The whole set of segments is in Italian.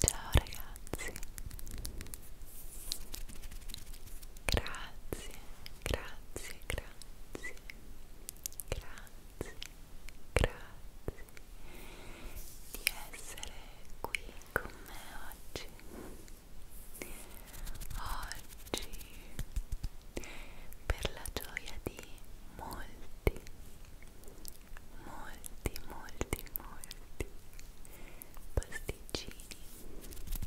Ciao ragazzi, grazie, grazie, grazie, grazie, grazie, di essere qui con me oggi. Oggi, per la gioia di molti, molti, molti, molti pasticcini,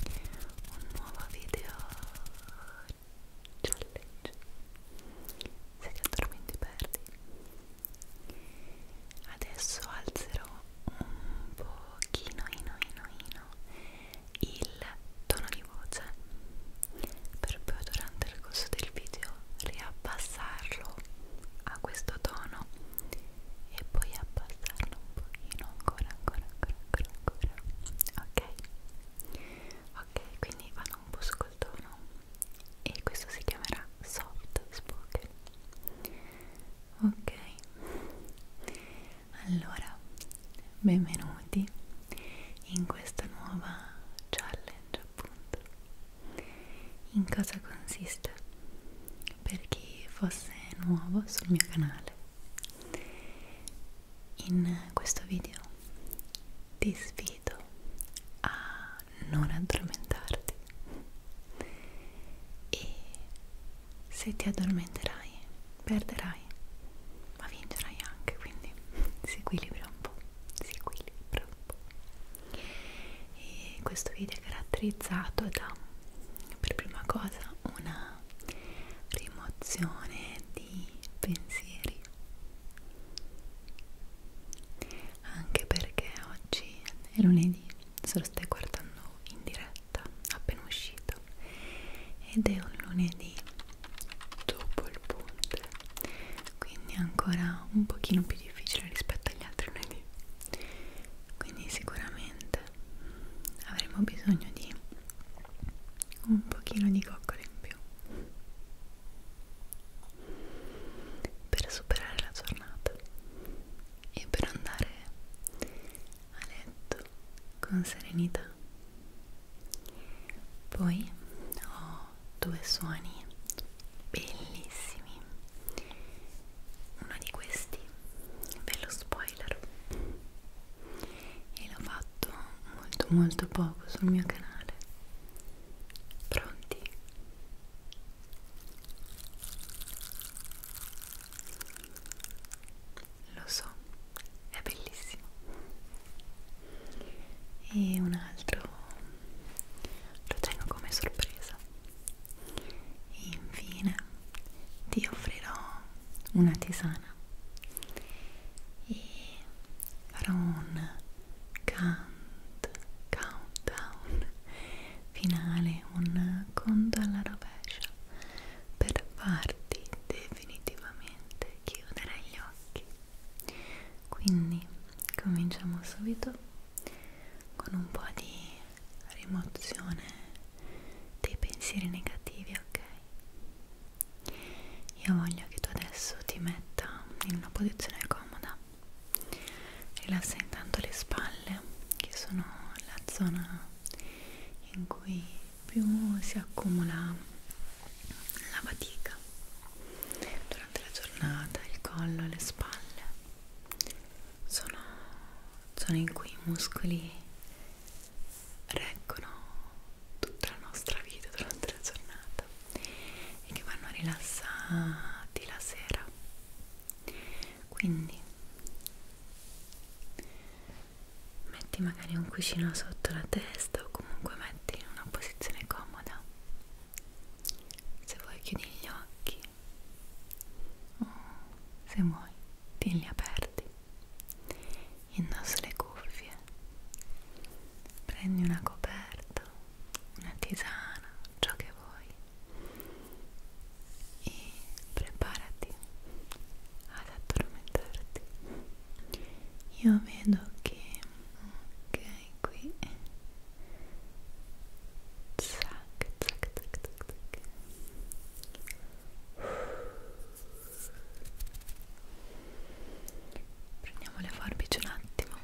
un nuovo video challenge. Se ti addormenti perdi adesso alzerò un pochino ino, ino, ino, il tono di voce per poi durante il corso del video riabbassarlo a questo tono e poi abbassarlo un pochino ancora ancora ancora ancora ancora ok ok quindi vado un po' sul tono e questo si chiamerà soft spoken ok allora benvenuti in questa nuova challenge appunto in cosa consiste per chi fosse nuovo sul mio canale in questo video ti sfido a non addormentarti e se ti addormenterai perderai ma vincerai anche quindi si equilibra un po' si equilibra un po' e questo video è caratterizzato da per prima cosa una rimozione di pensieri anche perché oggi è lunedì se lo stai guardando in diretta appena uscito ed è un lunedì dopo il ponte quindi ancora un pochino più difficile rispetto agli altri lunedì quindi sicuramente avremo bisogno di un pochino di coccole in più per superare la giornata e per andare a letto con serenità. Poi ho due suoni bellissimi. Uno di questi ve lo spoiler e l'ho fatto molto molto poco sul mio canale Pronti? Lo so, è bellissimo. E un altro lo tengo come sorpresa. E infine ti offrirò una tisana e farò un count, countdown finale, un conto alla rovescia per farti definitivamente chiudere gli occhi. Quindi cominciamo subito con un po' di rimozione dei pensieri negativi, ok? Io voglio che tu adesso ti metta in una posizione comoda Rilassa intanto le spalle, che sono la zona in cui più si accumula la fatica durante la giornata, il collo, le spalle. Sono zone in cui i muscoli reggono tutta la nostra vita durante la giornata giornata e che vanno rilassati la sera quindi metti magari un cuscino sotto la testa o comunque metti in una posizione comoda se vuoi chiudi gli occhi o se vuoi tienli aperti indossa le cuffie prendi una coperta una tisana, ciò che vuoi e preparati ad addormentarti io vedo che ok qui zac zac zac zac zac prendiamo le forbici un attimo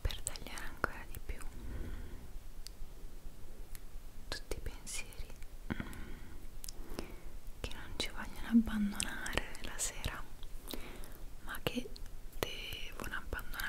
per tagliare ancora di più tutti i pensieri che non ci vogliono abbandonare la sera ma che devono abbandonarci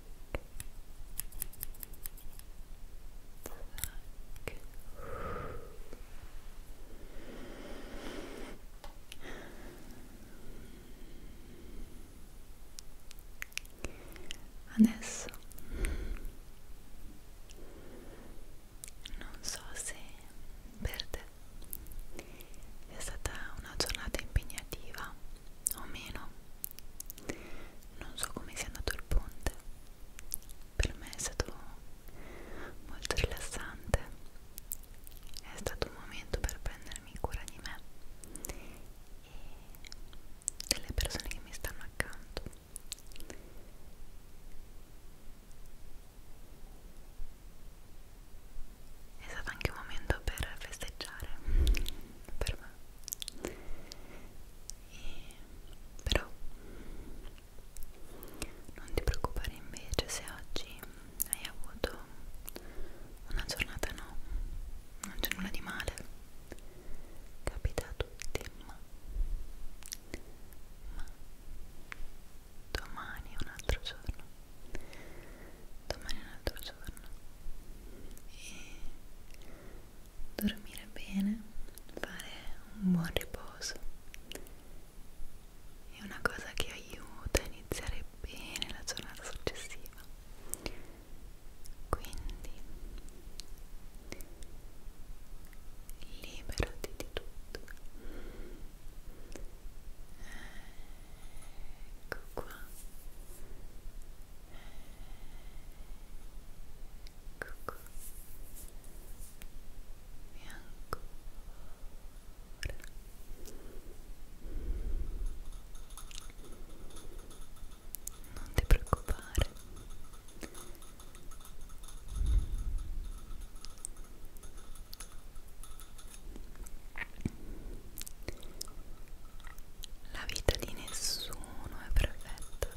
Zac. Adesso non so se per te è stata una giornata impegnativa o meno non so come sia andato il ponte per me è stato molto rilassante è stato un momento per prendermi cura di me e delle persone che mi stanno accanto è stato anche un momento per festeggiare per me e, però non ti preoccupare invece se oggi hai avuto una giornata no non c'è nulla di male capita a tutti ma ma domani è un altro giorno domani è un altro giorno e dormire bene, fare un buon riposo è una cosa che aiuta a iniziare bene la giornata successiva quindi liberati di tutto ecco qua Ecco e ancora non ti preoccupare la vita di nessuno è perfetta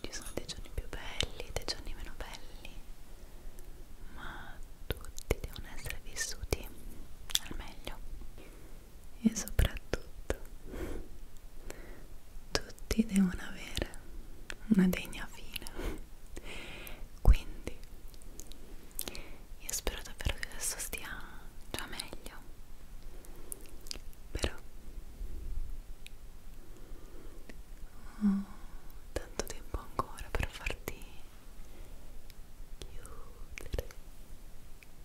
ci sono dei giorni più belli dei giorni meno belli ma tutti devono essere vissuti al meglio e soprattutto tutti devono avere una degna fine quindi io spero davvero che adesso stia già meglio però oh, tanto tempo ancora per farti chiudere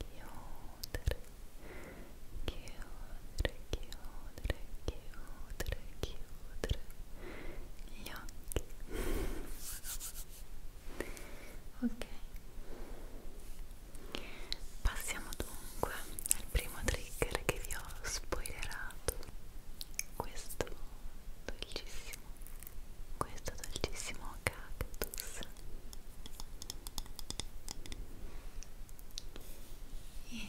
chiudere chiudere chiudere chiudere chiudere gli occhi ok Passiamo dunque al primo trigger che vi ho spoilerato. Questo dolcissimo, questo dolcissimo cactus. E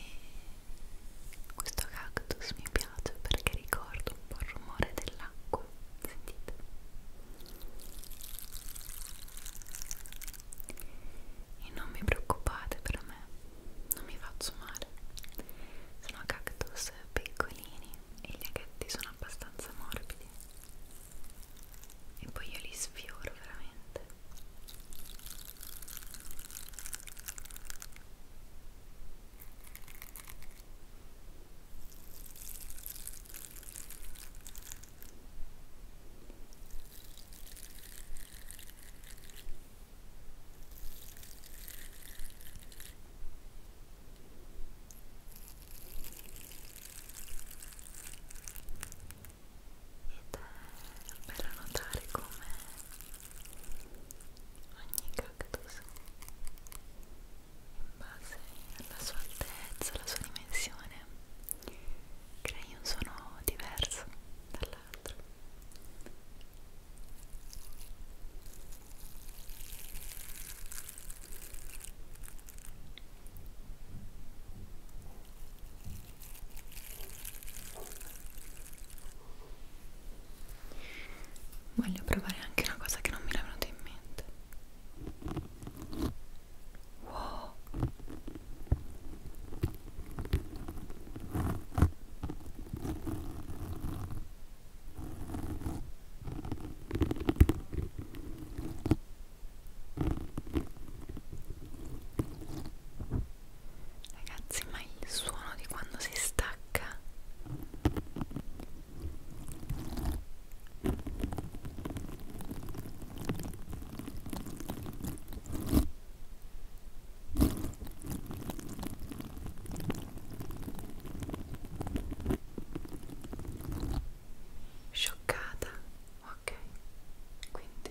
questo cactus mi piace perché ricordo un po' il rumore dell'acqua. Sentite? e non mi preoccupate per me, non mi faccio male. Sono cactus piccolini e gli aghetti sono abbastanza morbidi. E poi io li sfioro veramente è bello notare come ogni cactus in base alla sua altezza, alla sua dimensione crei un suono diverso dall'altro Voglio provare anche una cosa che non mi era venuta in mente. Wow. Ragazzi, ma il suono di quando si stacca Scioccata, ok, quindi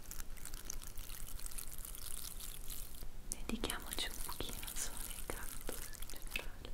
dedichiamoci un pochino al suono del cactus in generale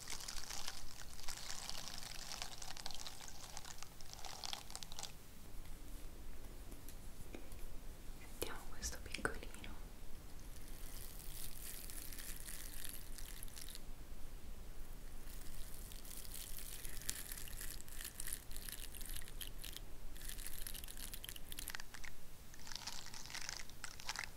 Sentiamo questo piccolino.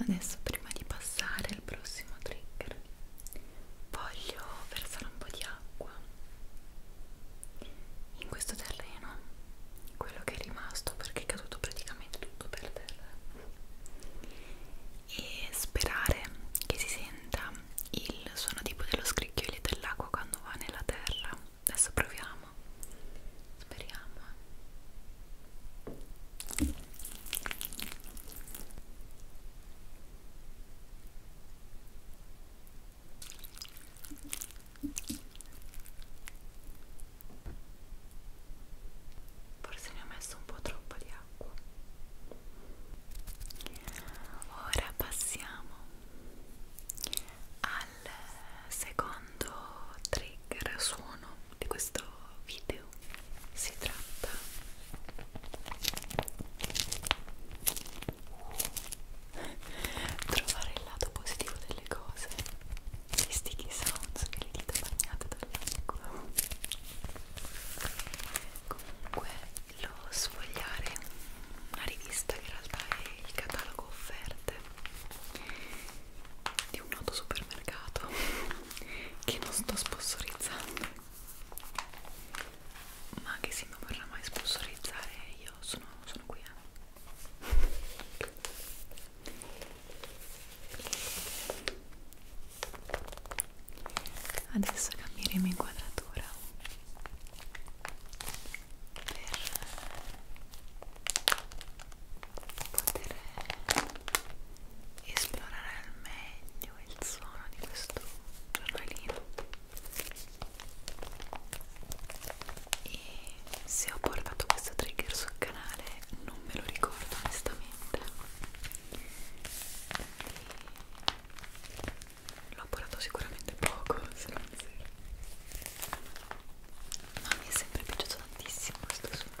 Adesso prima di passare al prossimo trigger voglio versare un po' di acqua in questo terreno, quello che è rimasto perché è caduto praticamente tutto per terra e sperare che si senta il suono tipo dello scricchiolio dell'acqua quando va nella terra adesso proviamo speriamo Forse ne ho messo un po' troppo di acqua. Ora passiamo al secondo trigger suono di questo video. Si tratta trovare il lato positivo delle cose. Gli sticky sounds che le dita bagnate dall'acqua comunque lo sfogliare una rivista che in realtà è il catalogo offerte di un noto supermercato che non sto sponsorizzando ma che se non vorrà mai sponsorizzare io sono, sono qui eh adesso cambieremo inquadratura per poter esplorare al meglio il suono di questo giornalino e se ho portato questo trigger sul canale non me lo ricordo onestamente l'ho portato sicuramente poco se non zero ma mi è sempre piaciuto tantissimo questo suono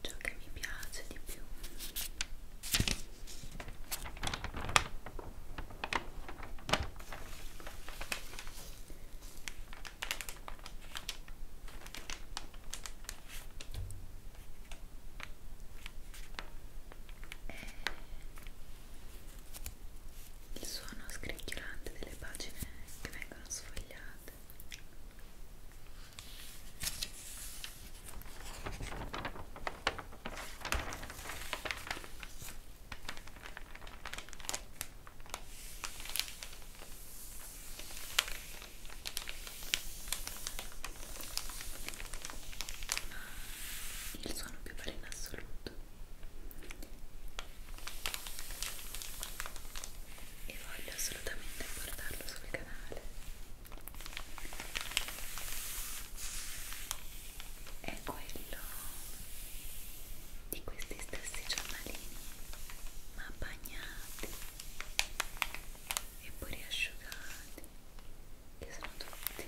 ciò che mi piace di più è il suono scricchiolante delle pagine che vengono sfogliate il suono più bello in assoluto e voglio assolutamente portarlo sul canale è quello di questi stessi giornalini ma bagnati e poi riasciugati che sono tutti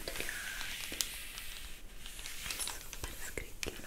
ondulati e super scricchiolanti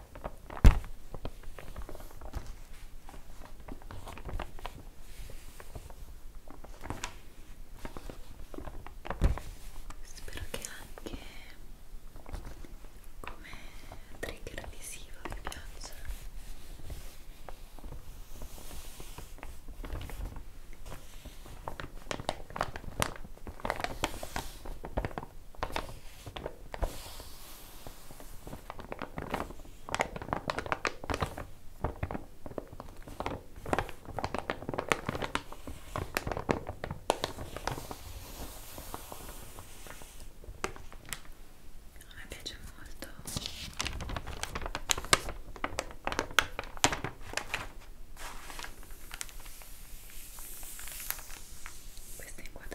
Spero che anche come trigger visivo vi piaccia. Ora mi piace molto questa è in 4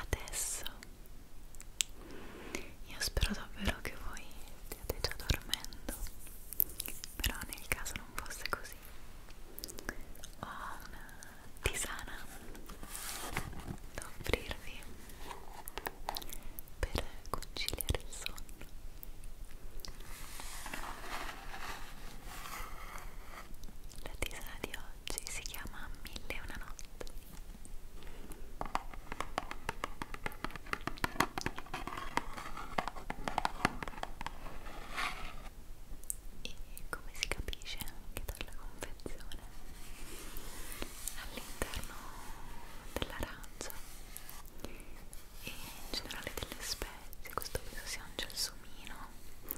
adesso io spero davvero che voi stiate già dormendo però nel caso non fosse così ho una tisana da offrirvi per conciliare il sonno la tisana di oggi si chiama Mille e una notte e come si capisce anche dalla confezione all'interno dell'arancio e in generale delle spezie questo penso sia un gelsomino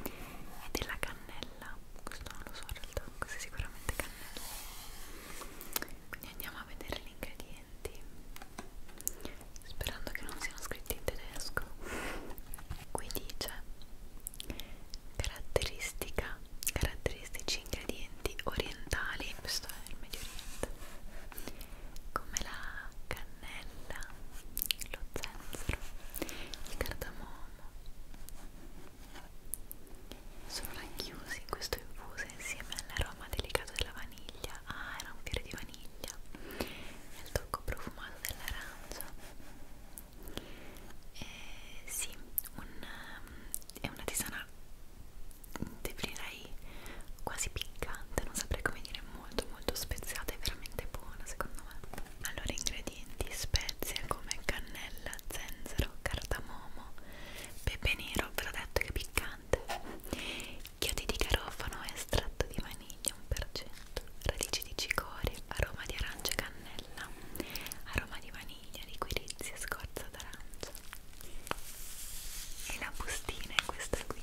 e della cannella questo non lo so in realtà, questo è sicuramente cannello quindi andiamo a vedere gli ingredienti sperando che non siano scritti in tedesco qui dice caratteristica caratteristici ingredienti orientali questo è il Medio Oriente come la cannella lo zenzero il cardamomo sono racchiusi in questo infuso insieme all'aroma delicato della vaniglia ah era un fiore di vaniglia e al tocco profumato dell'arancio eh, sì un, um, è una tisana definirei quasi piccante non saprei come dire molto molto speziata e veramente buona secondo me allora ingredienti ingredienti spezie come cannella, zenzero, cardamomo, pepe nero, ve l'ho detto che è piccante, chiodi di garofano, estratto di vaniglia 1%, radici di cicoria, aroma di arancia e cannella, aroma di vaniglia, liquirizia, scorza d'arancia e la bustina è questa qui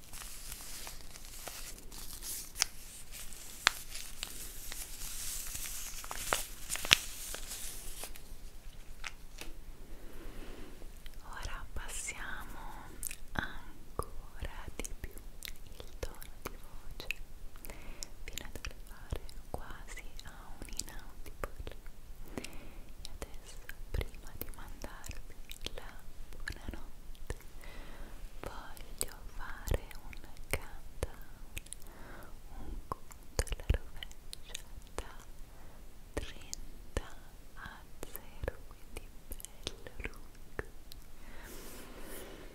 Ora passiamo ancora di più il tono di voce fino ad arrivare quasi a un inaudible. E adesso promesso prima di mandarvi la buonanotte voglio fare un countdown un conto alla rovescia da 30 a 0 quindi bello lungo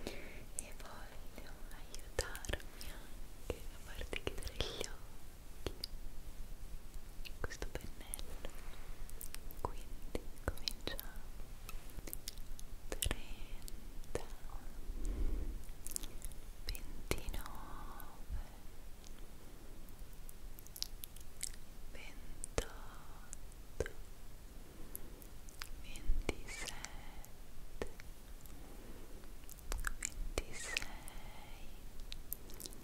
e voglio aiutarmi anche a farti chiudere gli occhi questo pensiero pennello quindi cominciamo 30 29 28 27 26 25 24 23 22 21 20